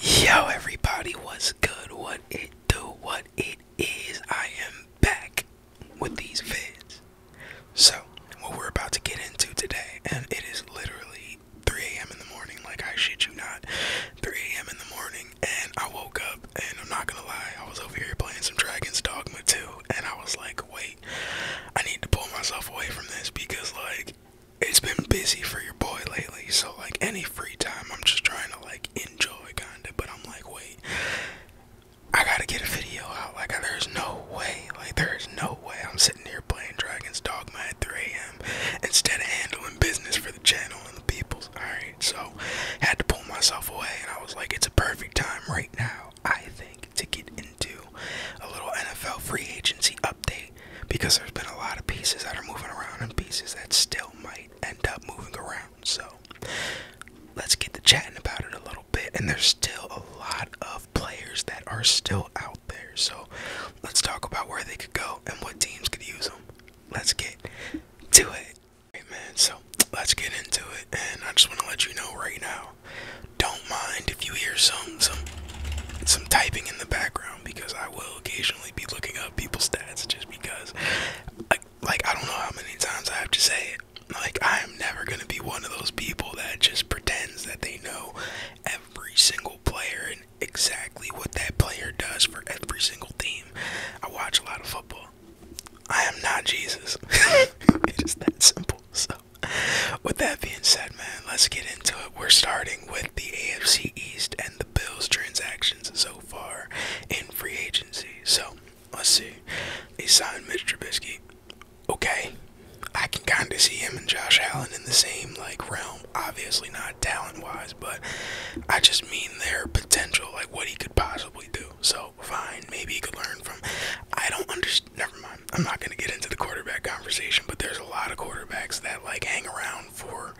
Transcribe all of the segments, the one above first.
Yo everybody, what's good? What it do? What it is? I am back with these vids. So, what we're about to get into today, and it is literally 3 a.m. in the morning, like I shit you not, 3 a.m. in the morning, and I woke up, and I'm not gonna lie, I was over here playing some Dragon's Dogma 2, and I was like, wait, I need to pull myself away from this because, like, it's been busy for your boy lately, so like any free time, I'm just trying to like enjoy kinda. But I'm like, wait, I gotta get a video out. Like, there's no way, like, there is no way I'm sitting here playing Dragon's Dogma at 3 a.m. instead of handling business for the channel and the peoples. Alright, so had to pull myself away, and I was like, it's a perfect time right now, I think, to get into a little NFL free agency update because there's been a lot of pieces that are moving around and pieces that still might end up moving around. So let's get to chatting about it a little bit. And there's still a lot of players that are still out there. So let's talk about where they could go and what teams could use them. Let's get to it. man, so let's get into it. And I just want to let you know right now, don't mind if you hear some some some typing in the background because I will occasionally be looking up people's stats just because, like, like I don't know how many times I have to say it. Like, I am never gonna be one of those people that just pretends that they know every single player and exactly what that player does for every single team. I watch a lot of football. I am not Jesus. it is that simple. So, with that being said, man, let's get into it. We're starting with the AFC East and the Bills transactions so far in free agency. So let's see. They signed Mr. Trubisky. Okay. I can kind of see him and Josh Allen in the same like realm. Obviously not talent wise, but I just mean their potential, like what he could possibly do. So fine, maybe he could learn from. I don't understand. Never mind. I'm not gonna get into the quarterback conversation, but there's a lot of quarterbacks that like hang around for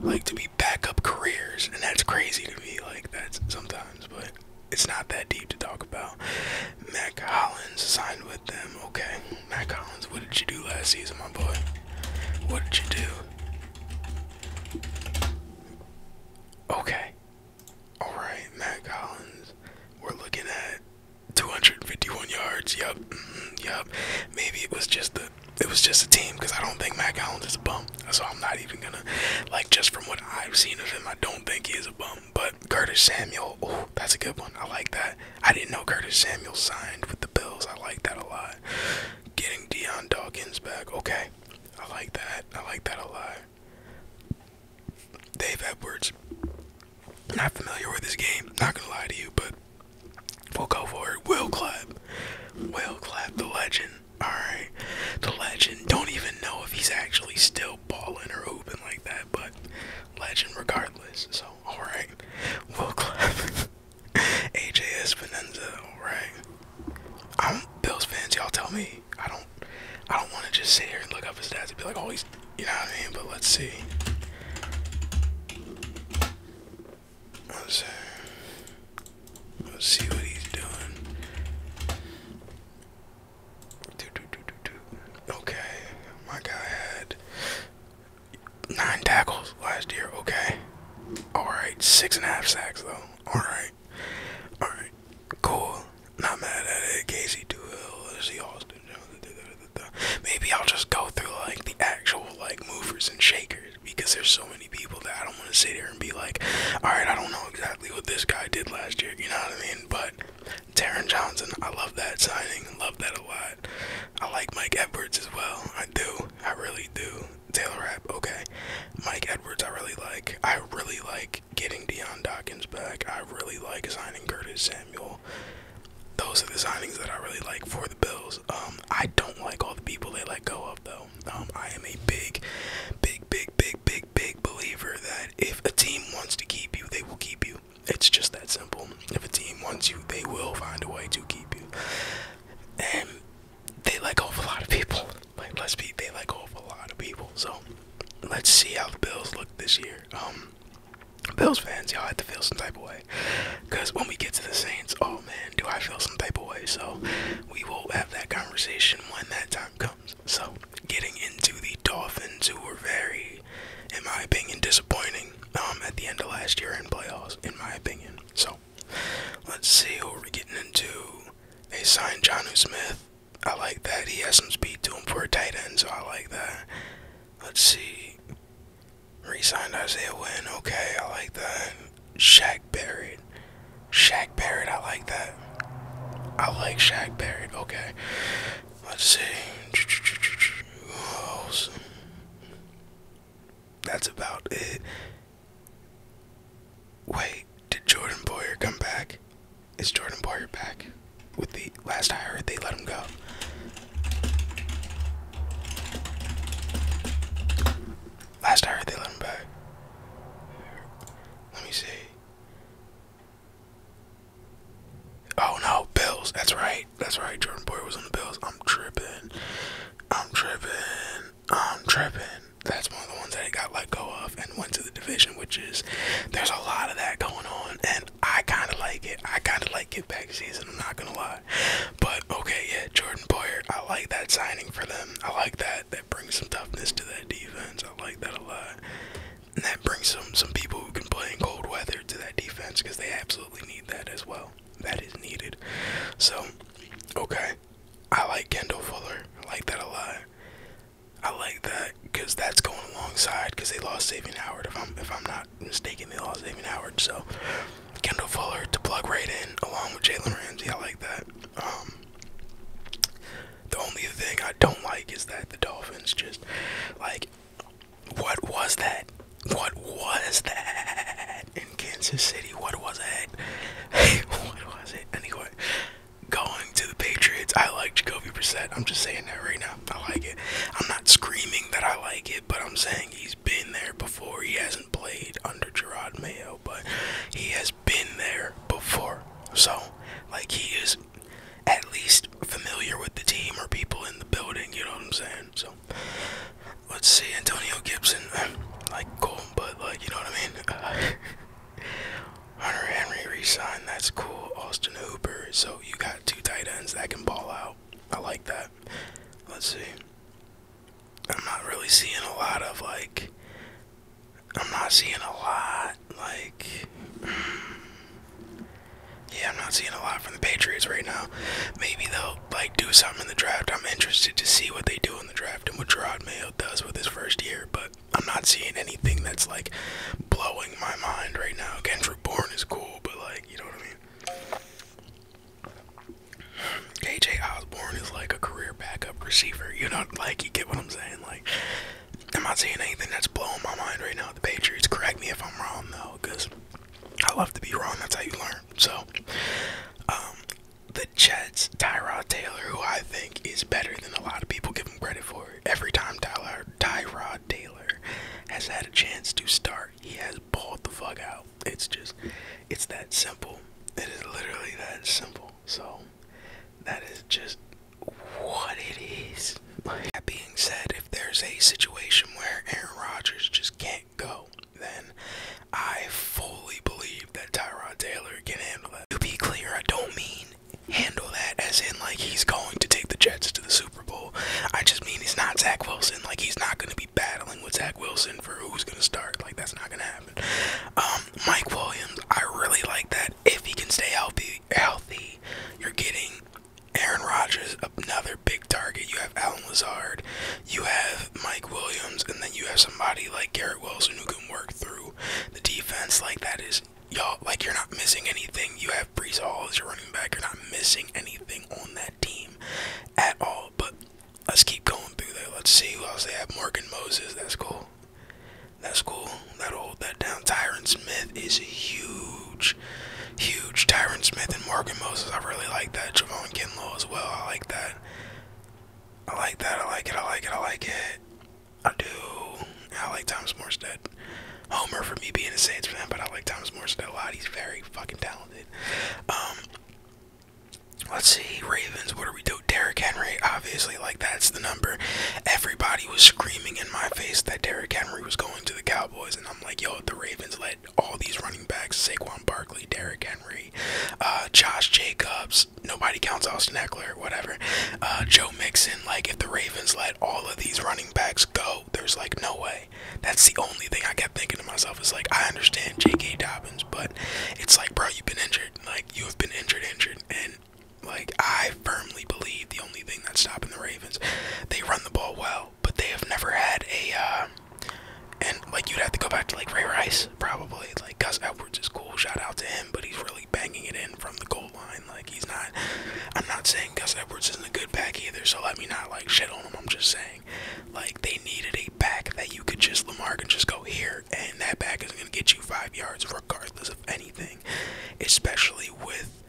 like to be backup careers, and that's crazy to me. Like that's sometimes, but it's not that deep to talk about. Matt Collins signed with them. Okay, Matt Collins, what did you do last season, my boy? What did you do? Okay. All right, Matt Collins. We're looking at 251 yards. Yup. Mm, yup. Maybe it was just the it was just a team because I don't think Mac Allen is a bum. So I'm not even gonna like just from what I've seen of him, I don't think he is a bum. But Curtis Samuel, oh, that's a good one. I like that. I didn't know Curtis Samuel signed with the Bills. I like that a lot. Getting Dion Dawkins back, okay. I like that. I like that a lot. Dave Edwards. Not familiar with this game, not gonna lie to you, but We'll go for it. Will Clapp. Will clap the legend. Alright. The legend. Don't even know if he's actually still balling or hooping like that, but legend regardless. So, alright. Will clap. AJ Espinenza, alright. I'm Bills fans, y'all tell me. I don't I don't wanna just sit here and look up his stats and be like, oh he's you know what I mean, but let's see. Let's, see what he's doing. Okay, my guy had nine tackles last year. Okay, all right, six and a half sacks though. All right, all right, cool. Not mad at it. Casey Duhill, Lizzie Austin. Maybe I'll just go through like the actual like movers and shakers because there's so many people that I don't want to sit here and be like, all right, I don't know exactly what this guy did last year. You know what I mean? But Taron Johnson, I love that signing. Love that a lot. I like Mike Edwards as well. I do. I really do. Taylor Rapp, okay. Mike Edwards, I really like. I really like getting Deion Dawkins back. I really like signing Curtis Samuel. Those are the signings that I really like for the Bills. Um, I don't like all the people they let go of, though. Um, I am a big, big, big, big, big, big believer that if a team wants to keep you, they will keep you. It's just that simple. If a team wants you, they will find a way to keep you. And they let go of a lot of people. Like let's be, they let go of a lot of people. So let's see how the Bills look this year. Um, Bills fans, y'all at the Bills some type of way. Because when we get to the Saints, oh man, do I feel some type of way. So we will have that conversation when that time comes. So getting into the Dolphins, who were very, in my opinion, disappointing um, at the end of last year in playoffs, in my opinion. So let's see who we're getting into. They signed Johnu Smith. I like that. He has some speed to him for a tight end, so I like that. Let's see. Resigned Isaiah Wynn. Okay, I like that. Shaq Barrett. Shaq Barrett, I like that. I like Shaq Barrett. Okay. Let's see. Who That's about it. Wait, did Jordan Boyer come back? Is Jordan Boyer back? With the last I heard, they let him go. Last I heard, they let him back. Let me see. Oh no, Bills. That's right. That's right. Jordan Boyd was on the Bills. I'm tripping. I'm tripping. I'm tripping. That's one of the ones that I got let go of and went to the division, which is there's a lot of that going on, and I kind of like it. I kind of like get back season. I'm not gonna lie. But okay, yeah, Jordan Boyer, I like that signing for them. I like that. That brings some toughness to that defense. I like that a lot. And that brings some some people who can play in cold weather to that defense because they absolutely need that as well. That is needed. So, okay, I like Kendall Fuller. I like that a lot. I like that because that's going alongside because they lost Saving Howard. If I'm if I'm not mistaken, they lost Saving Howard. So Kendall Fuller to plug right in along with Jalen Ramsey. I like that. Um, the only thing I don't like is that the Dolphins just like what was that? What was that in Kansas City? What was it? what was it? Anyway, going to the Patriots, I like Jacoby Brissett. I'm just saying that right now. I like it. I'm not screaming that I like it, but I'm saying he's been there before. He has not played under Gerard Mayo, but he has been there before. So, like, he is at least familiar with the team or people in the building, you know what I'm saying? So, let's see, Antonio Gibson, like, cool, but, like, you know what I mean? Hunter Henry re that's cool. Austin Hooper, so you got two tight ends that can ball out. I like that. Let's see. I'm not really seeing a lot of like. I'm not seeing a lot like. Mm, yeah, I'm not seeing a lot from the Patriots right now. Maybe they'll like do something in the draft. I'm interested to see what they do in the draft and what Gerard Mayo does with his first year, but I'm not seeing anything that's like blowing my mind right now. Kendrick Bourne is cool, but like you know what I mean. KJ Osborne is like a career backup receiver. You know, like you get what I'm saying. Like, I'm not saying anything that's blowing my mind right now. The Patriots. Correct me if I'm wrong though, because I love to be wrong. That's how you learn. So, um, the Jets. Tyrod Taylor, who I think is better than a lot of people give him credit for. Every time Tyler, Tyrod Taylor has had a chance to start he has balled the fuck out. It's just, it's that simple. It is literally that simple. So, that is just what it is. that being said, if there's a situation where Aaron Rodgers just can't go, then I fully believe that Tyrod Taylor can handle it. To be clear, I don't mean handle that as in like he's going to take the Jets to the Super Bowl. I just mean he's not Zach Wilson. Like he's not going to be battling with Zach Wilson for who's gonna start. Like that's not gonna happen. Um, Mike Williams, I really like that. If he can stay healthy, healthy, you're getting Aaron Rodgers, another big target. You have Alan Lazard, you have Mike Williams, and then you have somebody like Garrett Wilson who can work through the defense. Like that is y'all like you're not missing anything. You have Brees Hall as your running back. You're not missing anything on that team at all. But Let's keep going through there. Let's see who else they have. Morgan Moses, that's cool. That's cool. That'll hold that down. Tyron Smith is huge. Huge. Tyron Smith and Morgan Moses. I really like that. Javon Kinlaw as well. I like that. I like that. I like it. I like it. I like it. I do. I like Thomas Morstead. Homer for me being a Saints fan, but I like Thomas Morstead a lot. He's very fucking talented. Um, Let's see, Ravens, what do we do? Derrick Henry, obviously, like that's the number. Everybody was screaming in my face that Derrick Henry was going to the Cowboys, and I'm like, yo, the Ravens let all these running backs, Saquon Barkley, Derrick Henry, uh, Josh Jacobs, nobody counts Austin Eckler, whatever, uh, Joe Mixon, like if the Ravens let all of these running backs go, there's like no way. That's the only thing I can thinking to myself, is like I understand J.K. Dobbins, but it's like, bro, you've been injured. Like you have been injured, injured, and like I firmly believe the only thing that's stopping the Ravens, they run the ball well, but they have never had a. Uh, and like you'd have to go back to like Ray Rice probably. Like Gus Edwards is cool, shout out to him, but he's really banging it in from the goal line. Like he's not. I'm not saying Gus Edwards isn't a good back either, so let me not like shit on him. I'm just saying like they needed a back that you could just Lamar and just go here, and that back is gonna get you five yards regardless of anything, especially with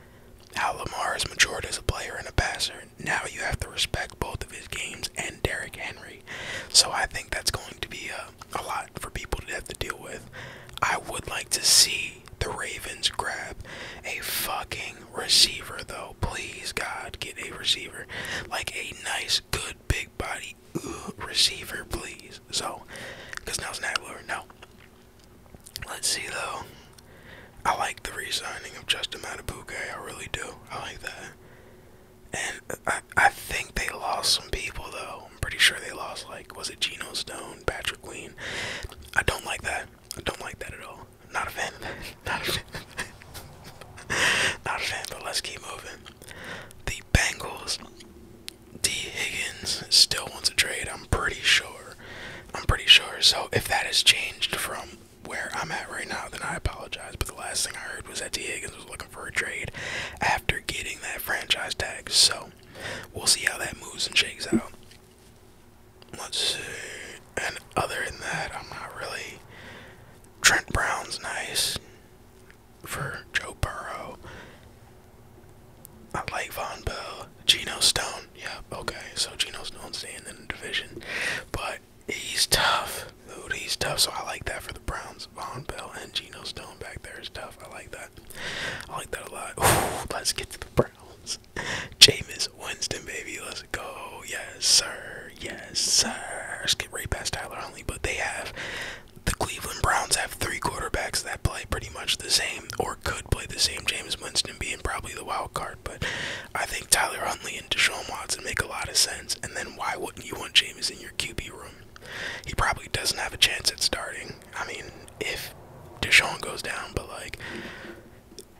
how Lamar has matured as a player and a passer. Now you have to respect both of his games and Derrick Henry. So I think that's going to be a, uh, a lot for people to have to deal with. I would like to see the Ravens grab a fucking receiver, though. Please, God, get a receiver. Like a nice good, big body uh, receiver, please. So, because now it's not Lure. No. Let's see, though. I like the re signing of Justin Matabuke. I really do. I like that. And I, I think they lost some people, though. I'm pretty sure they lost, like, was it Geno Stone, Patrick Queen? I don't like that. I don't like that at all. not a fan not a fan. but let's keep moving. The Bengals. D. Higgins still wants a trade, I'm pretty sure. I'm pretty sure. So if that has changed from where I'm at right now, then I apologize. But the last thing I heard was that D. Higgins was looking for a trade after getting that franchise tag. So we'll see how that moves and shakes out. Let's see. And other than that, I'm not really Trent Brown's nice for Joe Burrow. I like Von Bell. Geno Stone. yeah, okay. So Geno Stone's staying in the division. But he's tough. Dude, he's tough. So I like that for the Browns. Von Bell and Geno Stone back there is tough. I like that. I like that a lot. let's get to the Browns. Jameis Winston, baby. Let's go. Yes, sir. Yes, sir. Skip right past Tyler Huntley, but they have the Cleveland Browns have three quarterbacks that play pretty much the same or could play the same. James Winston being probably the wild card, but I think Tyler Huntley and Deshaun Watson make a lot of sense. And then why wouldn't you want James in your QB room? He probably doesn't have a chance at starting. I mean, if Deshaun goes down, but like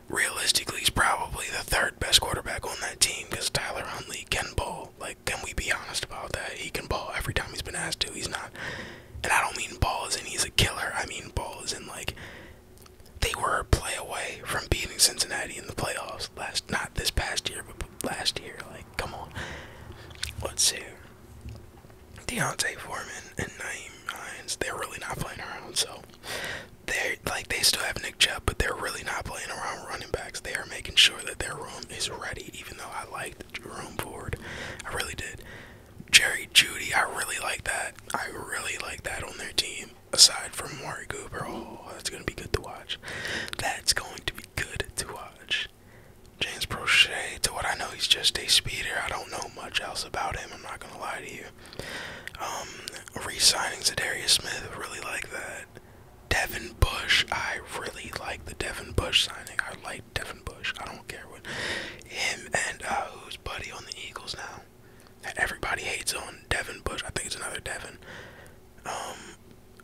realistically, he's probably the third best quarterback on that team because Tyler Huntley can bowl. Like, can we be honest about that? He can ball every time he's been asked to. He's not, and I don't mean balls. And he's a killer. I mean balls, and like they were a play away from beating Cincinnati in the playoffs last, not this past year, but last year. Like, come on. Let's see. Deontay Foreman and Naeem Hines, they're really not playing around, so they're like they still have but they're really not playing around running backs. They are making sure that their room is ready, even though I liked Jerome Ford. I really did. Jerry Judy, I really like that. I really like that on their team. Aside from Mari Cooper, oh, that's going to be good to watch. That's going to be good to watch. James Prochet, to what I know, he's just a speeder. I don't know much else about him. I'm not going to lie to you. Um, Re signing Zadarius Smith, really like that. Devin Bush. I really like the Devin Bush signing. I like Devin Bush. I don't care what him and uh, who's buddy on the Eagles now. everybody hates on Devin Bush. I think it's another Devin. Um,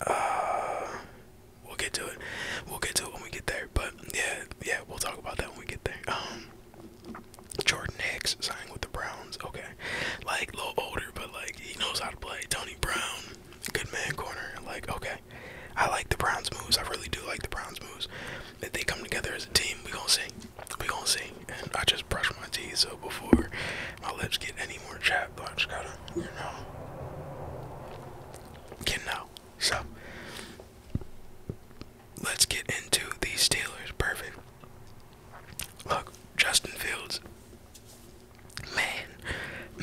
uh, we'll get to it. We'll get to it when we get there. But yeah, yeah, we'll talk about that when we get there. Um, Jordan Hicks signing with the Browns. Okay, like a little older, but like he knows how to play. Tony Brown, good man corner. Like okay, I like the Browns moves. I really do like the Browns moves. If they come together as a team, we gonna sing. We gonna sing. And I just brush my teeth so before my lips get any more chapped, I just gotta, get know, get out. So let's get into these Steelers. Perfect. Look, Justin Fields Man,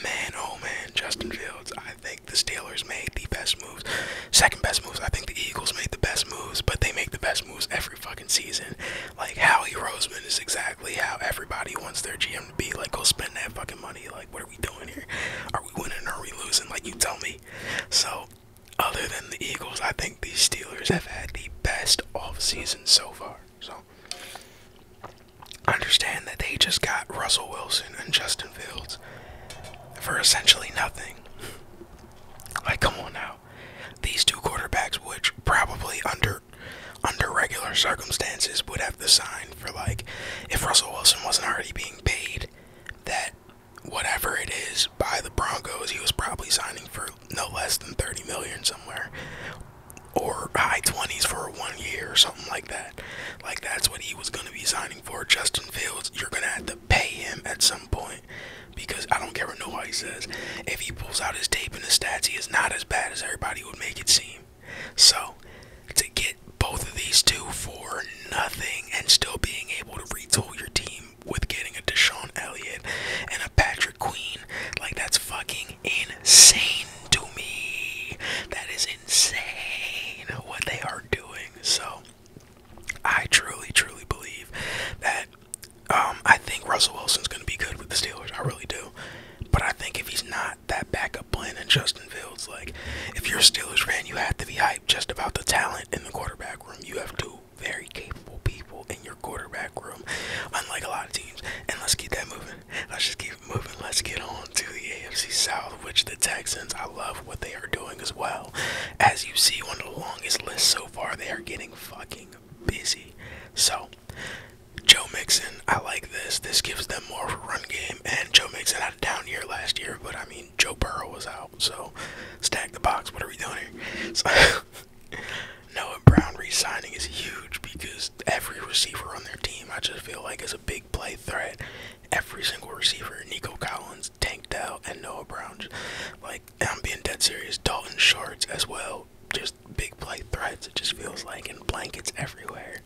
man, oh man, Justin Fields. I think the Steelers made the best moves. Second best moves. I think the Eagles made the best moves, but they make the best moves every fucking season. Like Howie Roseman is exactly how everybody wants their GM to be. Like, go spend that fucking money. Like, what are we doing here? Are we winning or are we losing? Like you tell me. So other than the Eagles, I think these Steelers have had the best offseason so far. So understand that they just got Russell Wilson and Justin Fields for essentially nothing. Like come on now. These two quarterbacks which probably under under regular circumstances would have to sign for like if Russell Wilson wasn't already being paid that whatever it is by the Broncos, he was probably signing for no less than 30 million somewhere or high 20s for one year or something like that. Like that's what he was going to be signing for. Justin Fields, you're going to have to pay him at some point because I don't care what nobody says. If he pulls out his tape and his stats, he is not as bad as everybody would make it seem. So to get both of these two for nothing and still being able to retool your team with getting a Deshaun Elliott and a Patrick Queen. Like that's fucking insane to me. That is insane what they are doing. So I truly, truly believe that um, I think Russell Wilson's going to be good with the Steelers. I really do. But I think if he's not, that backup plan in Justin Fields, like, if you're a Steelers fan, you have to be hyped just about the talent in the quarterback room. You have two very capable people in your quarterback room, unlike a lot of teams. And let's keep that moving. Let's just keep moving. Let's get on to the AFC South, which the Texans, I love what they are doing as well. As you see on the longest list so far, they are getting fucking busy. So, Joe Mixon, I like this. This gives them more of a run game. And Joe Mixon had a down year last year, but I mean, Joe Burrow was out. So, stack the box. What are we doing here? Noah Brown re-signing is huge because every receiver on their team, I just feel like, is a big play threat. Every single receiver, Nico Collins, Tank Dell, and Noah Brown, like I'm being dead serious. Dalton Shorts as well, just big play threats. It just feels like and blankets everywhere.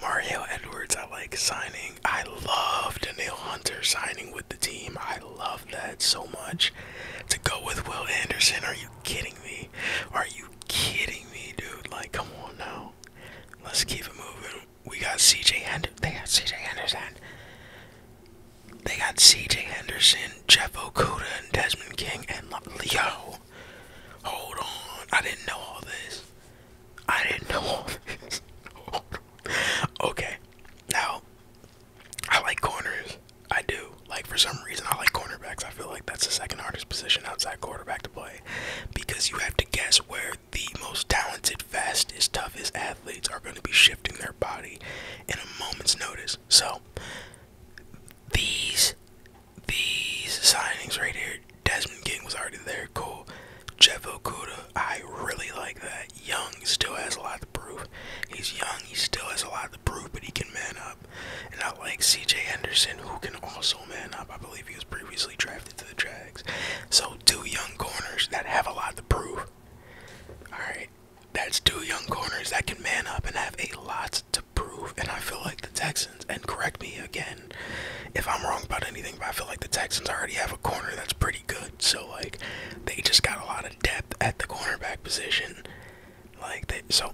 Mario Edwards, I like signing. I love Daniel Hunter signing with the team. I love that so much. To go with Will Anderson, are you kidding me? Are you kidding me, dude? Like, come on now. Let's keep it moving. We got CJ Henderson. They got CJ Henderson. They got CJ Henderson, Jeff Okuda, and Desmond King, and Leo. Hold on. I didn't know all this. I didn't know all this. okay. Now, I like corners. I do. Like for some reason, I like cornerbacks. I feel like that's the second hardest position outside quarterback to play, because you have to guess where the most talented, fastest, toughest athletes are going to be shifting their body in a moment's notice. So these these signings right here, Desmond King was already there. Cool. Jeff Okuda, I really like that. Young still has a lot to prove. He's young. He still has a lot prove, but he can man up. And I like CJ Henderson, who can also man up. I believe he was previously drafted to the Jags. So, two young corners that have a lot to prove. Alright, that's two young corners that can man up and have a lot to prove. And I feel like the Texans, and correct me again if I'm wrong about anything, but I feel like the Texans already have a corner that's pretty good. So, like, they just got a lot of depth at the cornerback position. Like, they, so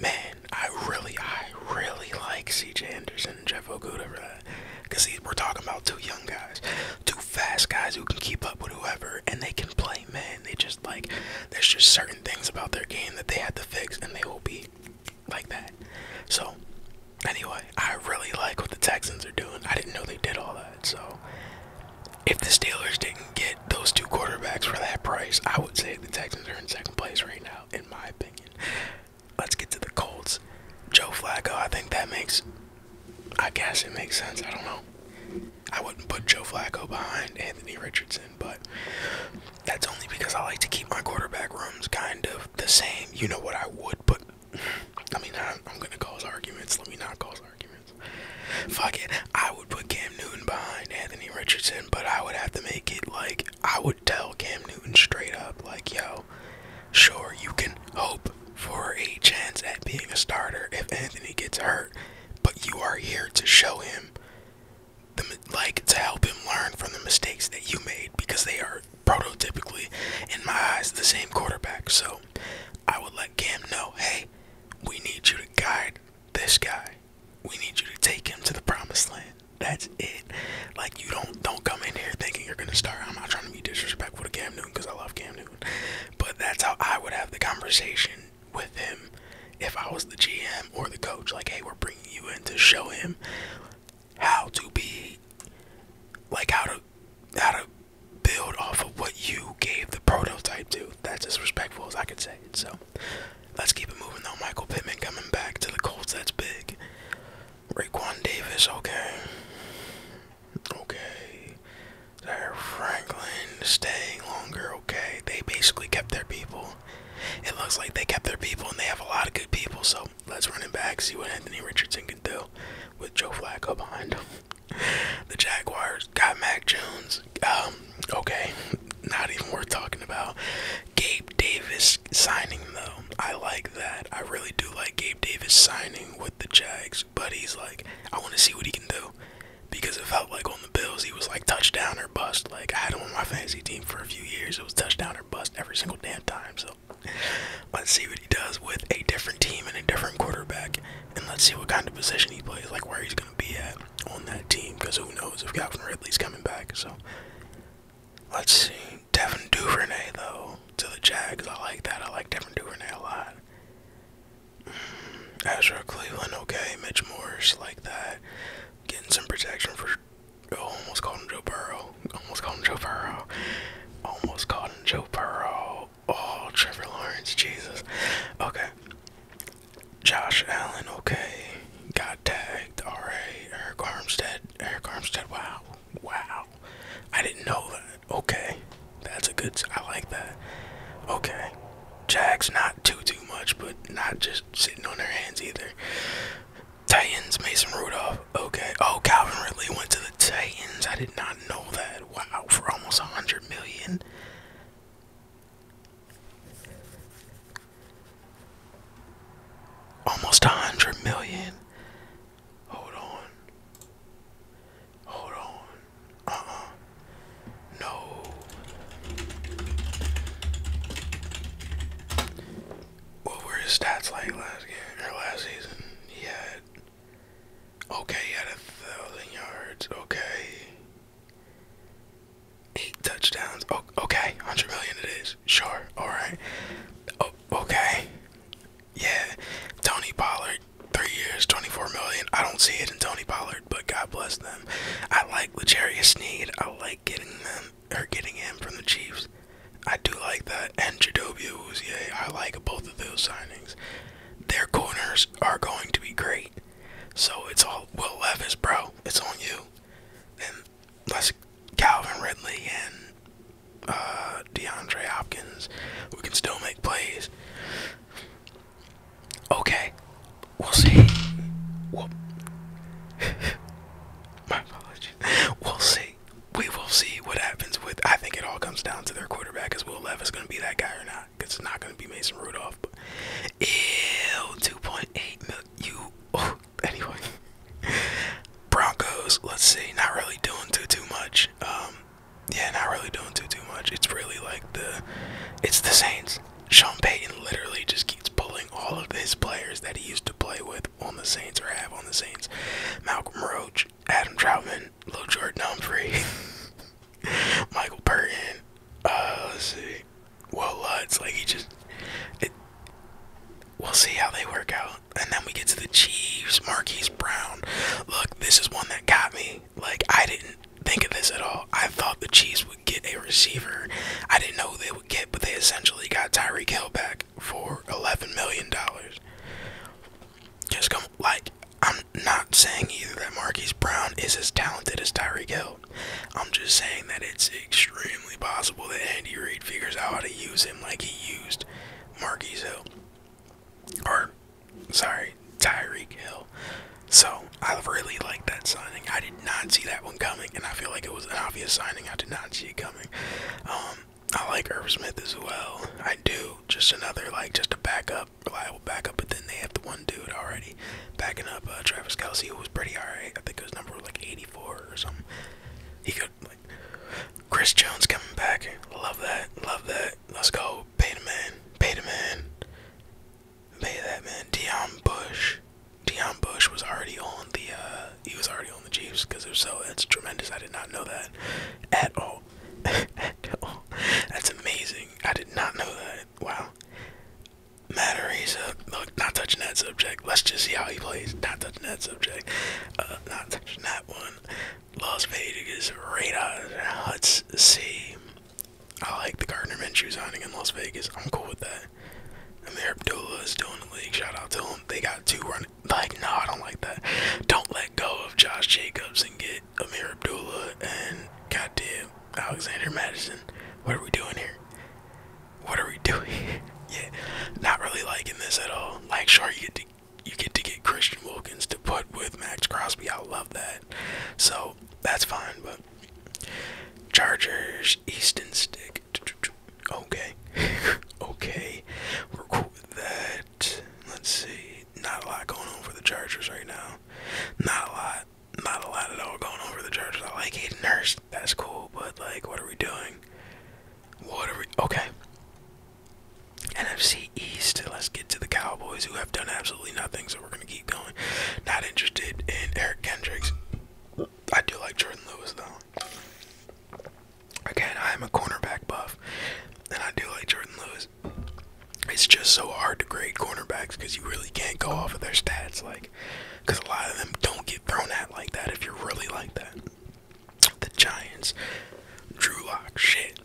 man, I really, I really like C.J. Anderson and Jeff Okuda for that. Because we're talking about two young guys, two fast guys who can keep up with whoever, and they can play, man. They just, like, there's just certain things about their game that they had to fix, and they will be like that. So, anyway, I really like what the Texans are doing. I didn't know they did all that, so... If the Steelers didn't get those two quarterbacks for that price, I would say the Texans are in second place right now, in my opinion. Let's get to the Colts. Joe Flacco, I think that makes, I guess it makes sense. I don't know. I wouldn't put Joe Flacco behind Anthony Richardson, but that's only because I like to keep my quarterback rooms kind of the same. You know what I would put. I mean, I'm, going to cause arguments. Let me not cause arguments. Fuck it. I would put Cam Newton behind Anthony Richardson, but I would have to make it like I would tell Cam Newton straight up, like, yo, sure, you can hope for a chance at being a starter if Anthony gets hurt, but you are here to show him, the, like, to help him learn from the mistakes that you made because they are prototypically, in my eyes, the same quarterback. So I would let Cam know, hey, we need you to guide this guy we need you to take him to the promised land. That's it. Like you don't don't come in here thinking you're gonna start. I'm not trying to be disrespectful to Cam Newton because I love Cam Newton, but that's how I would have the conversation with him if I was the GM or the coach. Like, hey, we're bringing you in to show him how to be, like how to how to build off of what you gave the prototype to. That's as respectful as I can say. So Let's keep it moving though. Michael Pittman coming back to the Colts. That's big. Raquan Davis. Okay. Okay. Zaire Franklin staying longer. Okay. They basically kept their people. It looks like they kept their people and they have a lot of good people. So let's run it back. See what Anthony Richardson can do with Joe Flacco behind him. the Jaguars got Mac Jones. Um, okay, not even worth talking about. Gabe Davis signing though. I like that. I really do like Gabe Davis signing with the Jags, but he's like, I want to see what he can do. Because it felt like on the Bills, he was like touchdown or bust. Like, I had him on my fantasy team for a few years. It was touchdown or bust every single damn time. So, let's see what he does with a different team and a different quarterback. And let's see what kind of position he plays, like where he's going to be at on that team because who knows if Calvin Ridley's coming back. So let's see. Devin Duvernay though to the Jags. I like that. I like Devin Duvernay a lot. Mm, Ezra Cleveland, okay. Mitch Morris, like that. Getting some protection for. Oh, almost called him Joe Burrow. Almost called him Joe Burrow. Almost called him Joe Burrow. Oh, Trevor Lawrence, Jesus. Okay. Josh Allen, okay. Got tagged. Alright. Eric Armstead. Eric Armstead, wow. Wow. I didn't know that. Okay. That's a good I like that. Okay. Jags not too too much, but not just sitting on their hands either. Titans, Mason Rudolph. Okay. Oh, Calvin Ridley went to the Titans. I did not know that. Wow, for almost a hundred million. Almost a hundred million. Hold on. Hold on. Uh uh. No. What were his stats like last game or last season? He had okay, he had a thousand yards. Okay. Eight touchdowns. okay, hundred million it is. Sure. All right. okay. Yeah. Tony Pollard, three years, twenty-four million. I don't see it in Tony Pollard, but God bless them. I like Legarius Sneed. I like getting them or getting him from the Chiefs. I do like that. And Jadobi Uzier. I like both of those signings. Their corners are going to be great. So it's all Will Levis, bro. It's on you. And that's Calvin Ridley and uh, DeAndre Hopkins, we can still make plays. Okay, we'll see. We'll My apologies. We'll see. We will see what happens with. I think it all comes down to their quarterback. Is Will Levis going to be that guy or not? Because it's not going to be Mason Rudolph. ew, 2.8 million. You, oh, anyway. Broncos, let's see, not really doing too too much. Um, yeah, not really doing too too much. It's really like the it's the Saints. Sean Payton literally just keeps pulling all of his players that he used to play with on the Saints or have on the Saints. Malcolm Roach, Adam Troutman, Lil Jordan Humphrey, Michael Burton, uh, let's see. Well, it's like he just. we'll see how they work out. And then we get to the Chiefs, Marquise Brown. Look, this is one that got me. Like, I didn't think of this at all. I thought the Chiefs would get a receiver. I didn't know they would get, but they essentially got Tyreek Hill back for $11 million. Just come, like, I'm not saying either that Marquise Brown is as talented as Tyreek Hill. I'm just saying that it's extremely possible that Andy Reid figures out how to use him like he used Marquise Hill. Or, sorry, Tyreek Hill. So, I really like that signing. I did not see that one coming, and I feel like it was an obvious signing. I did not see it coming. Um, I like Herb Smith as well. I do. Just another, like, just a backup, reliable backup, but then they have the one dude already backing up uh, Travis Kelsey, who was pretty alright. I think it was number, like, or something. He got Chris Jones coming back. Love that. Love that. Let's go. Pay the man. Pay the man. Pay that man. Deion Bush. Deion Bush was already on the. Uh, he was already on the Chiefs because if so, that's tremendous. I did not know that at all. at all. That's amazing. I did not know that. Wow. Matteries, look, not touching that subject. Let's just see how he plays. Not touching that subject. Uh, not touching that one. Las Vegas Raiders. Let's see. I like the Gardner Minshew signing in Las Vegas. I'm cool with that. Amir Abdullah is doing the league. Shout out to him. They got two running. Like, no, I don't like that. Don't let go of Josh Jacobs and get Amir Abdullah and goddamn Alexander Madison. What are we doing here? what are we doing? yeah, not really liking this at all. Like, sure, you get to you get to get Christian Wilkins to put with Max Crosby. I love that. So that's fine, but Chargers Easton stick. Okay, okay, we're cool with that. Let's see, not a lot going on for the Chargers right now. Not a lot, not a lot at all going on for the Chargers. I like Hayden Hurst that's cool, but like, what are we doing? What are we? Okay. NFC East. Let's get to the Cowboys, who have done absolutely nothing. So we're gonna keep going. Not interested in Eric Kendricks. I do like Jordan Lewis though. Again, I am a cornerback buff, and I do like Jordan Lewis. It's just so hard to grade cornerbacks because you really can't go off of their stats. Like, because a lot of them don't get thrown at like that if you're really like that. The Giants, Drew Lock, shit,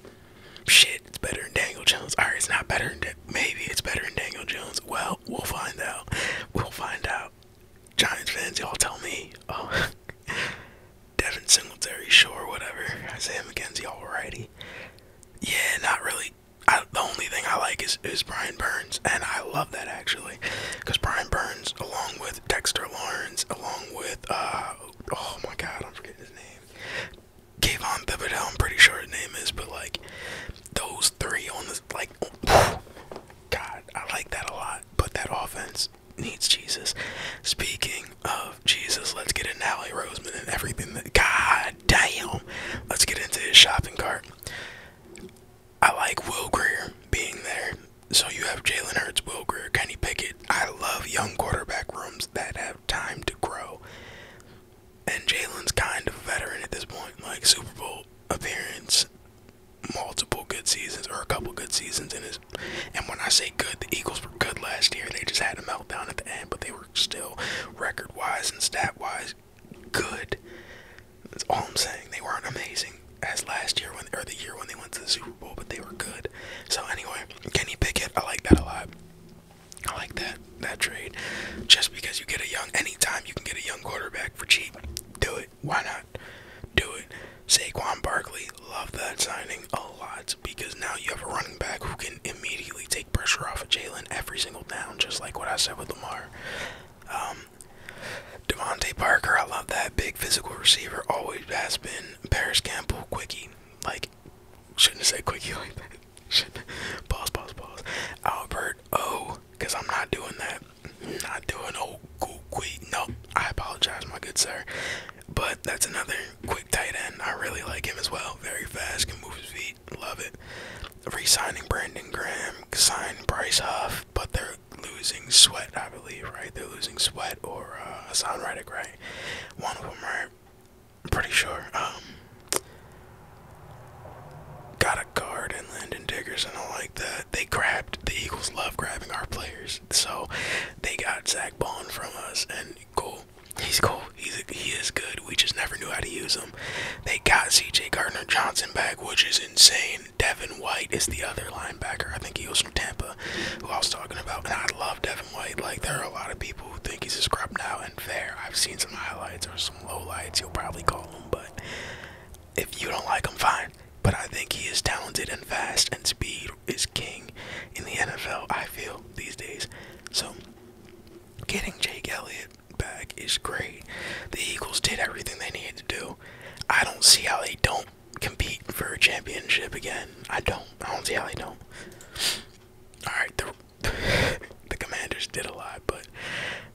shit. It's better than Daniel Jones. Alright, it's not better. Than Maybe it's better than Daniel Jones. Well, we'll find out. We'll find out. Giants fans, y'all tell me. Oh, Devin Singletary, sure, whatever. Isaiah McKenzie, alrighty. Yeah, not really. the only thing I like is is Brian Burns, and I love that actually because Brian Burns, along with Dexter Lawrence, along with uh, oh my God, I'm forgetting his name, Kayvon Thibodeau. I'm pretty sure his name is, but like those three on the like, oh, God, I like that a lot. But that offense needs Jesus. Speaking of Jesus, let's get into Allie Roseman and everything. That, God damn, let's get into his shopping cart. I like Will Greer being there. So you have Jalen Hurts, Will Greer, Kenny Pickett. I love young quarterback rooms that have time to grow. And Jalen's kind of a veteran at this point, like Super Bowl appearance, multiple good seasons or a couple good seasons in his. And when I say good, the Eagles were good last year. They just had a meltdown at the end, but they were still record-wise and stat-wise good. That's all I'm saying. They weren't amazing as last year when or the year when they went to the Super Bowl, but they were good. So anyway, Kenny Pickett, I like that a lot. I like that that trade. Just because you get a young anytime you can get a young quarterback for cheap, do it. Why not? Do it. Saquon Barkley, love that signing a lot because now you have a running back who can immediately take pressure off of Jalen every single down, just like what I said with Lamar. Um, Devontae Parker, I love that. Big physical receiver, always has been. Paris Campbell, quickie. Like, shouldn't say quickie like that. Shouldn't. Pause, pause, pause. Albert O, because I'm not doing that. Not doing old quickie. No, I apologize, my good sir. But that's another quick tight end. I really like him as well. Very fast, can move his feet. Love it. Re-signing Brandon Graham, signed Bryce Huff but they're losing Sweat, I believe, right? They're losing Sweat or uh, Hassan Reddick, right? One of them, right? pretty sure. Um, got a guard and Landon Diggers and all like that. They grabbed the Eagles. Love grabbing our players, so they got Zach Bond from us, and cool. He's cool. He's he is good. We just never knew how to use him. They got C.J. Gardner Johnson back, which is insane. Devin White is the other linebacker. I think he was from Tampa, who I was talking about. And I love Devin White. Like there are a lot of people who think he's a scrub now, and fair. I've seen some highlights or some lowlights. You'll probably call him, but if you don't like him, fine. But I think he is talented and fast, and speed is king in the NFL. I feel these days. So getting Jake Elliott back is great. The Eagles did everything they needed to do. I don't see how they don't compete for a championship again. I don't. I don't see how they don't. All right, the the Commanders did a lot, but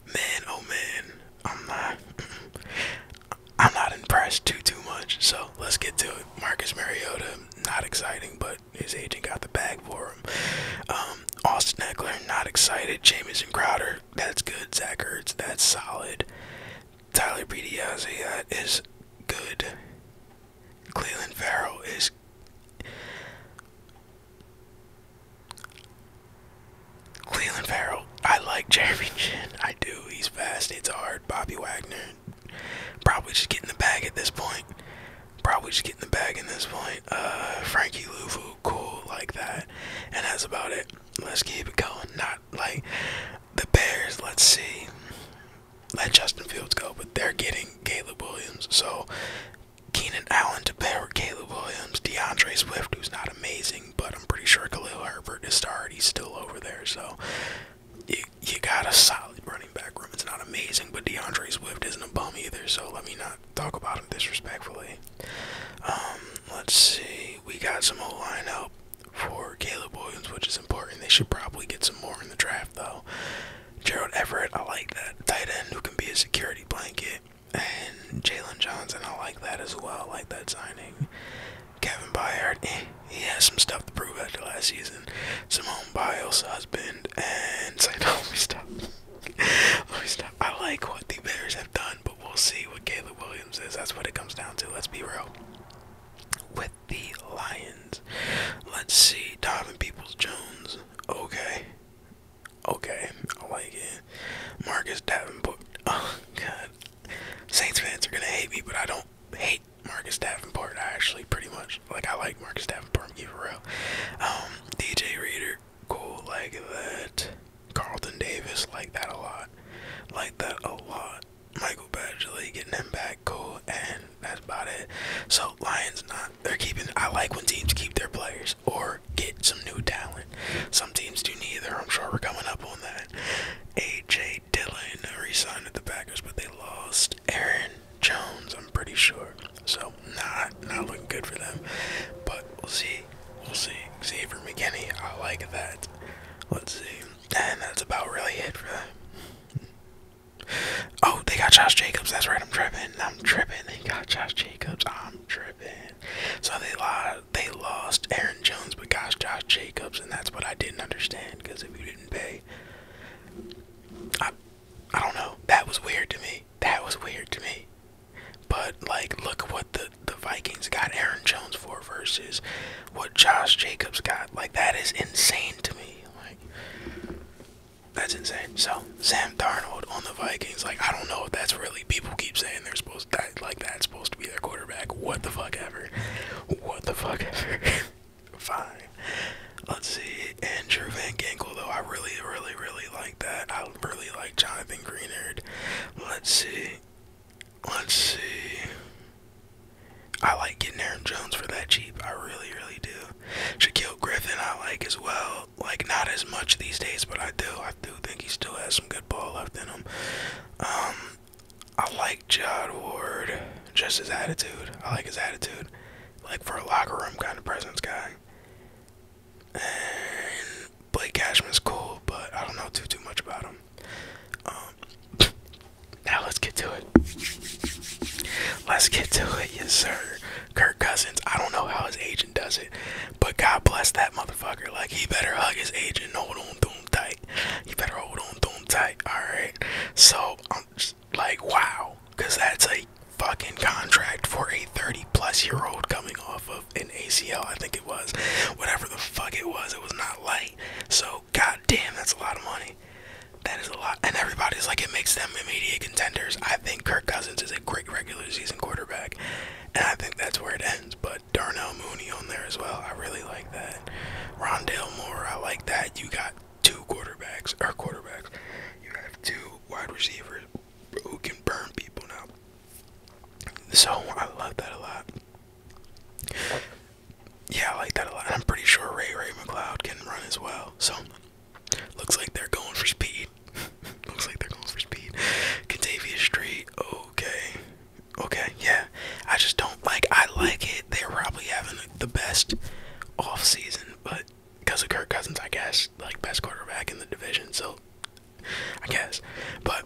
man, oh man, I'm not. I'm not impressed too too much. So let's get to it. Marcus Mariota, not exciting, but his agent got the bag for him. Um, Austin Eckler, not excited. Jamison Crowder, that's good. Zach Ertz, that's solid. Tyler Bediazzi, that is good. Cleveland Farrell is. Cleveland Farrell, I like Jeremy Chin. I do. He's fast. It's hard. Bobby Wagner, probably just get in the bag at this point. Probably just get in the bag at this point. Uh, Frankie Louvu, cool like that, and that's about it. Let's keep it going. Not like the Bears. Let's see. Let Justin Fields go, but they're getting Caleb Williams. So Keenan Allen to pair with Caleb Williams, DeAndre Swift, who's not amazing, but I'm pretty sure Khalil Herbert is started. He's still over there. So you, you got a solid running back room. It's not amazing, but DeAndre Swift isn't a bum either. So let me not talk about him disrespectfully. Um, let's see. We got some old line help for Caleb Williams, which is important. They should probably get some more in the draft, though. Gerald Everett, I like that. Tight end who can be a security blanket. And Jalen Johnson, I like that as well. I like that signing. Kevin Byard, eh, he has some stuff to prove after last season. Simone Biles, husband, and Let me stop. Let me stop. I like what the Bears have done, we'll see what Caleb Williams is. That's what it comes down to. Let's be real. With the Lions, let's see. Donovan Peoples Jones. Okay. Okay. I like it. Marcus Davenport. Oh, God. Saints fans are going to hate me, but I don't hate Marcus Davenport, I actually, pretty much. Like, I like Marcus Davenport, I'm it real. Um, DJ Reader. Cool, like that. Carlton Davis like that a lot. Like that a lot. Michael Badgley getting him back, cool, and that's about it. So Lions not they're keeping I like when teams keep their players or get some new talent. Some teams do neither, I'm sure we're coming up on that. AJ Dillon re-signed at the Packers, but they lost Aaron Jones, I'm pretty sure. So not not looking good for them. But we'll see We'll see. Xavier McKinney, I like that. Let's see. And that's about really it Oh, they got Josh Jacobs. That's right. I'm tripping. I'm tripping. They got Josh Jacobs. I'm tripping. So they lied. They lost Aaron Jones, but got Josh Jacobs, and that's what I didn't understand. Because if you didn't pay, I, I don't know. That was weird to me. That was weird to me. But like, look what the the Vikings got Aaron Jones for versus what Josh Jacobs got. Like that is insane to me. Like that's insane. So Sam Darnold on the Vikings. Like I don't know if that's really people keep saying they're supposed to, that like that's supposed to be their quarterback. What the fuck ever. What the fuck ever. Fine. Let's see. Andrew Van Ginkel though. I really, really, really like that. I really like Jonathan Greenard. Let's see. Let's see. I like getting Aaron Jones for that cheap. I really, really do. Shaquille Griffin, I like as well. Like, not as much these days, but I do. I do think he still has some good ball left in him. Um, I like Jod Ward. Just his attitude. I like his attitude. Like, for a locker room kind of presence guy. And Blake Cashman's cool, but I don't know too too much about him. Um, now let's get to it. Let's get to it, yes sir. Kirk Cousins. I don't know how his agent does it, but God bless that motherfucker. Like he better hug his agent. Hold on to him tight. He better hold on to tight. All right. So I'm just like, wow, because that's a fucking contract for a 30 plus year old coming off of of an ACL, I think it was. Whatever the fuck it was, it was not light. So goddamn, that's a lot of money. That is a lot. And everybody's like, it makes them immediate contenders. I think Kirk Cousins is a great regular season quarterback. And I think that's where it ends. But Darnell Mooney on there as well. I really like that. Rondell Moore, I like that. You got two quarterbacks, or quarterbacks. You have two wide receivers who can burn people now. So I love that a lot. Yeah, I like that a lot. I'm pretty sure Ray Ray McLeod can run as well. So, looks like they're going for speed. looks like they're going for speed. Catavia Street, okay. Okay, yeah. I just don't like, I like it. They're probably having the best off season, but because of Kirk Cousins, I guess, like best quarterback in the division. So, I guess. But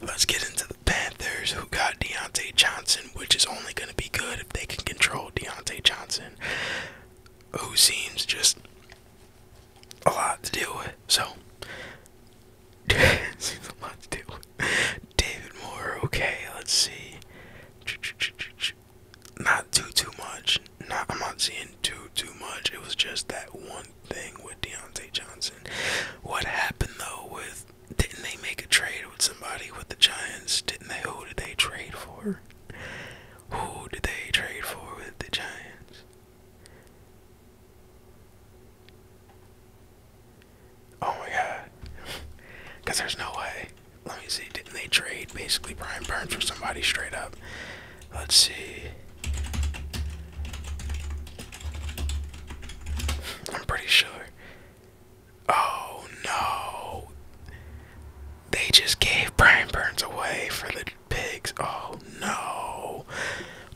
let's get into the Panthers, who got Deontay Johnson, which is only going to be good if they can control Deontay Johnson, who seems just a lot to deal with. So, seems a lot to deal with. David Moore, okay, let's see. Not too, too much. Not, I'm not seeing too, too much. It was just that one thing with Deontay Johnson. What happened though with didn't they make a trade with somebody with the Giants? Didn't they who did they trade for? Who did they trade for with the Giants? Oh my god. Cause there's no way. Let me see. Didn't they trade basically Brian Burns for somebody straight up? Let's see. I'm pretty sure. Oh no. They just gave Brian Burns away for the pigs. Oh no.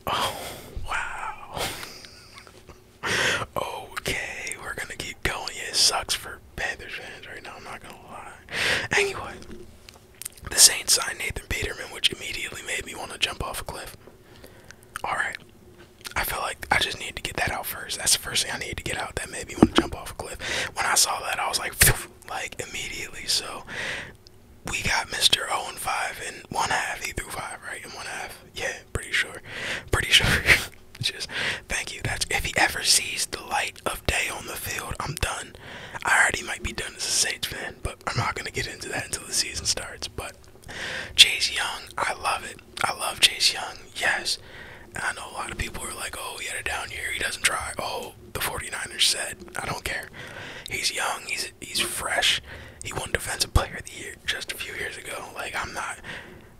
Oh wow. okay, we're gonna keep going. It sucks for Panthers fans right now, I'm not gonna lie. Anyway, the Saints signed Nathan Peterman, which immediately made me want to jump off a cliff. Alright. I feel like I just need to get that out first. That's the first thing I need to get out. That made me want to jump off a cliff. When I saw that, I was like, like immediately. So we got Mr. 0 and 5 and one half. He threw five, right? in one half. Yeah, pretty sure. Pretty sure. just thank you. That's if he ever sees the light of day on the field, I'm done. I already might be done as a Saints fan, but I'm not going to get into that until the season starts. But Chase Young, I love it. I love Chase Young, yes. I know a lot of people are like, oh, he had a down year. He doesn't try. Oh, the 49ers said, I don't care. He's young. He's, he's fresh. He won Defensive Player of the Year just a few years ago. Like, I'm not.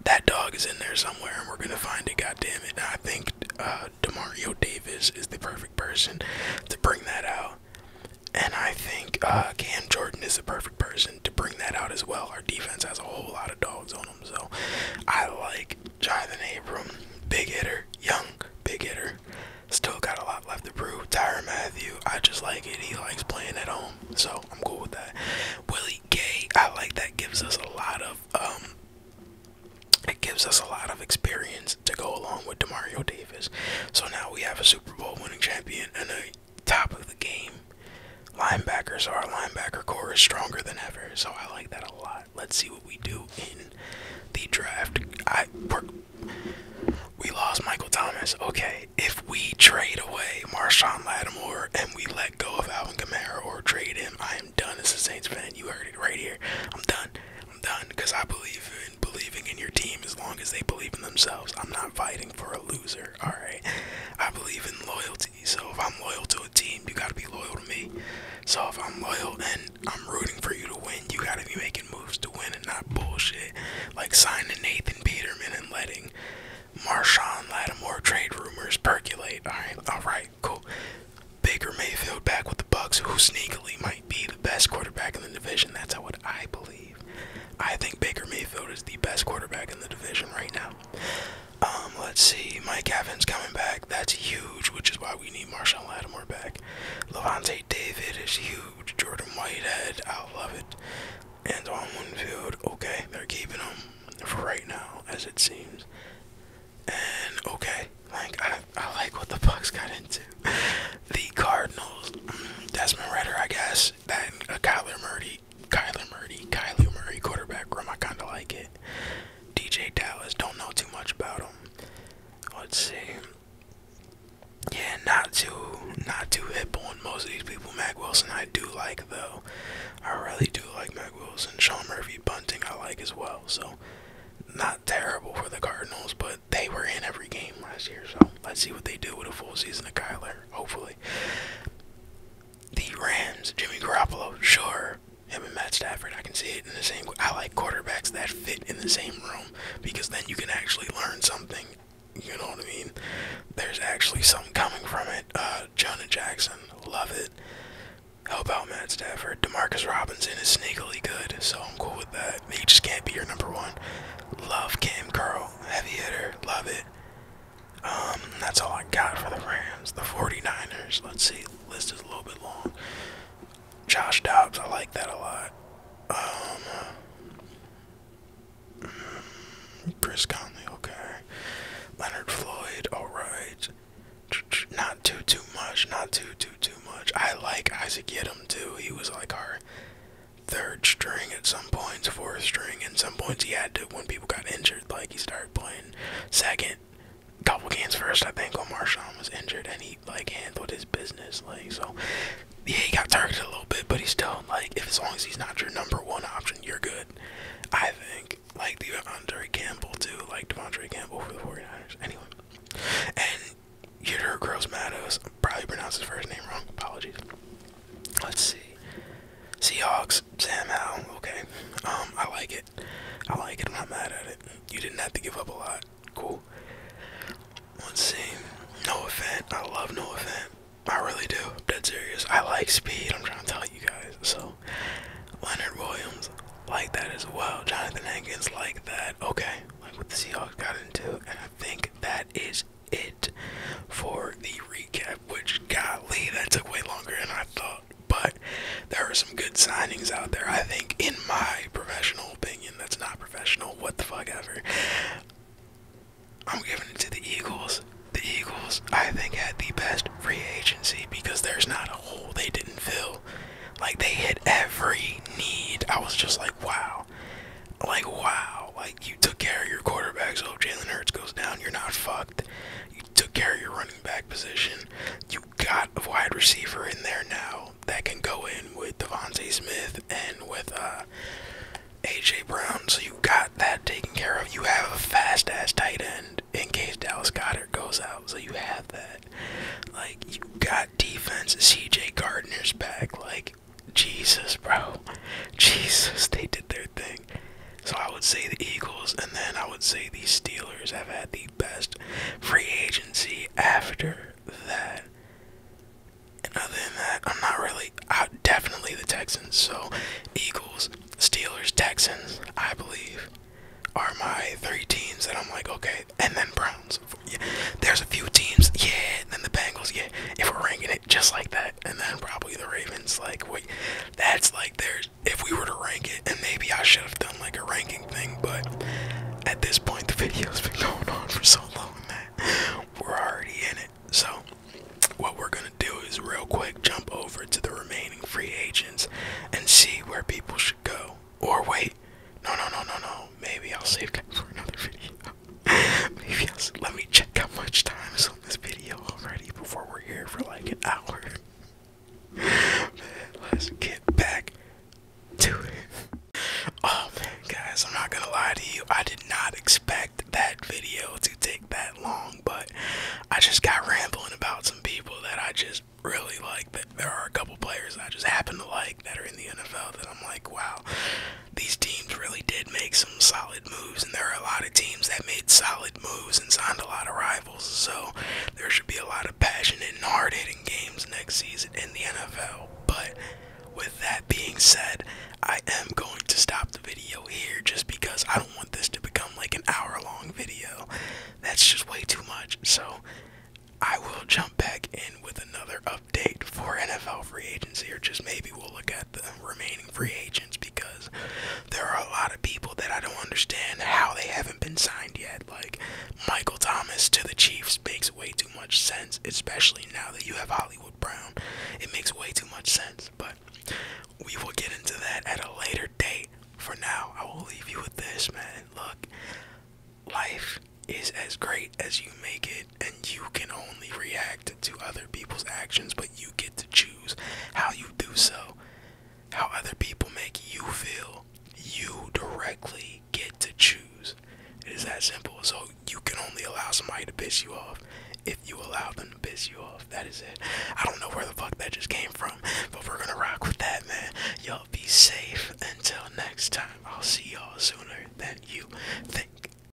That dog is in there somewhere, and we're going to find it, God damn it. I think uh, Demario Davis is the perfect person to bring that out. And I think uh, Cam Jordan is the perfect person to bring that out as well. Our defense has a whole lot of dogs on them, so I like Jonathan Abram, big hitter, young, big hitter. Still got a lot left to prove. Tyron Matthew, I just like it. He likes playing at home, so I'm cool with that. Willie Gay, I like that. Gives us a lot of um, it gives us a lot of experience to go along with Demario Davis. So now we have a super. Super Bowl winning champion and a top of the game linebacker, so our linebacker core is stronger than ever. So I like that a lot. Let's see what we do in the draft. I we lost Michael Thomas. Okay, if we trade away Marshawn Lattimore and we let go of Alvin Kamara or trade him, I am done as a Saints fan. You heard it right here. I'm done. I'm done because I believe in believing in your team as long as they believe in themselves. I'm not fighting for a loser, alright? I believe in loyalty. So if I'm loyal to a team, you gotta be loyal to me. So if I'm loyal and I'm rooting for you to win, you gotta be making moves to win and not bullshit. Like signing Nathan Peterman and letting Marshawn Lattimore trade rumors percolate. Alright, alright, cool. Baker Mayfield back with the Bucks, who sneakily might be the best quarterback in the division. That's how what I believe. I think Baker Mayfield is the best quarterback in the division right now. Um, let's see. Mike Evans coming back. That's huge, which is why we need Marshawn Lattimore back. Levante David is huge. Jordan Whitehead, I love it. And on Winfield, okay, they're keeping him for right now, as it seems. And okay, like I, I like what the Bucks got into. The Cardinals, mm, Desmond Ritter, I guess, that a Kyler Murray, Kyler Murray, Kyler Murray quarterback room. I kind of like it. DJ Dallas. Don't know too much about him. Let's see. Yeah, not too, not too hip on most of these people. Mac Wilson, I do like though. I really do like Mac Wilson. Sean Murphy, Bunting, I like as well. So, not terrible for the Cardinals, but they were in every game last year, so let's see what they do with a full season of Kyler. Hopefully, the Rams, Jimmy Garoppolo, sure. Him and Matt Stafford, I can see it in the same. I like quarterbacks that fit in the same room because then you can actually learn something. You know what I mean? There's actually something coming from it. Uh, Jonah Jackson, love it. Help out Matt Stafford. Demarcus Robinson is sneakily good, so I'm cool with that but he just can't be your number one. Love Cam Curl, heavy hitter, love it. Um, that's all I got for the Rams. The 49ers, let's see, list is a little bit long. Josh Dobbs, I like that a lot. Um, hmm. Chris Conley, okay. Leonard Floyd, alright. Not too, too much, not too, too, too much. I like Isaac Yedem too. He was like our third string at some points, fourth string, at some points he had to when people got injured. Like he started playing second, couple games first. I think when Marshawn was injured, and he like handled his business. Like so, yeah, he got targeted a little bit, but he's still like, if as long as he's not your number one option, you're good. I think like Devondre Campbell too, like Devondre Campbell for the 49ers. Anyway, and you Yuder Gross Matos, probably pronounced his first name wrong. Apologies. Let's see. Seahawks, Sam Howell, okay. Um, I like it. I like it, I'm not mad at it. You didn't have to give up a lot. Cool. Let's see. No event. I love no event. I really do. dead serious. I like speed, I'm trying to tell you guys. So Leonard Williams, like that as well. Jonathan Hankins like that. Okay. Like what the Seahawks got into. And I think that is it for the recap, which golly, that took way longer than I thought. But there were some good signings out there, I think, in my professional opinion. That's not professional, what the fuck ever. I'm giving it to the Eagles. The Eagles, I think, had the best free agency because there's not a hole they didn't fill. Like, they hit every need. I was just like, wow. Like, wow you took care of your quarterback. So oh, Jalen Hurts goes down, you're not fucked. You took care of your running back position. You got a wide receiver in there now that can go in with Devontae Smith and with uh, AJ Brown. So you got that taken care of. You have a fast ass tight end in case Dallas Goddard goes out. So you have that. Like you got defense. CJ Gardner's back. Like Jesus, bro. Jesus, they did their thing. So I would say the Eagles, and then I would say the Steelers have had the best free agency after that. And other than that, I'm not really. I, definitely the Texans. So Eagles, Steelers, Texans, I believe, are my three teams that I'm like, okay. And then Browns. Yeah. There's a few teams, yeah. And then the Bengals, yeah. If we're ranking it just like that and then probably the Ravens. Like, wait, that's like there's if we were to rank it, and maybe I should have done like a ranking thing, but at this point, the video's been going on for so long that we're already in it. So, what we're gonna do is real quick jump over to the remaining free agents and see where people should go. Or wait, no, no, no, no, no. Maybe I'll save that for another video. Maybe i let me check how much time is on this video already before we're here for like an hour. Let's get back to it. Oh man, guys, I'm not gonna lie to you. I did not expect that video to take that long, but I just got rambling about some people that I just really like. That there are a couple players that I just happen to like that are in the NFL that I'm like, wow, these teams really did make some solid moves, and there are a lot of teams that made solid moves and signed a lot of rivals. So there should be a lot of passionate and hard-hitting games next season in the NFL. But with that being said, I am going to stop the video here just because I don't want this to become like an hour-long video. That's just way too much. So I will jump back in with another update update for NFL free agency, or just maybe we'll look at the remaining free agents because there are a lot of people that I don't understand how they haven't been signed yet. Like Michael Thomas to the Chiefs makes way too much sense, especially now that you have Hollywood Brown. It makes way too much sense, but we will get into that at a later date. For now, I will leave you with this, man. Look, life is as great as you make it and you can only react to other people's actions, but you get to choose how you do so. How other people make you feel, you directly get to choose. It is that simple. So you can only allow somebody to piss you off if you allow them to piss you off. That is it. I don't know where the fuck that just came from, but we're gonna rock with that, man. Y'all be safe. Until next time, I'll see y'all sooner than you think.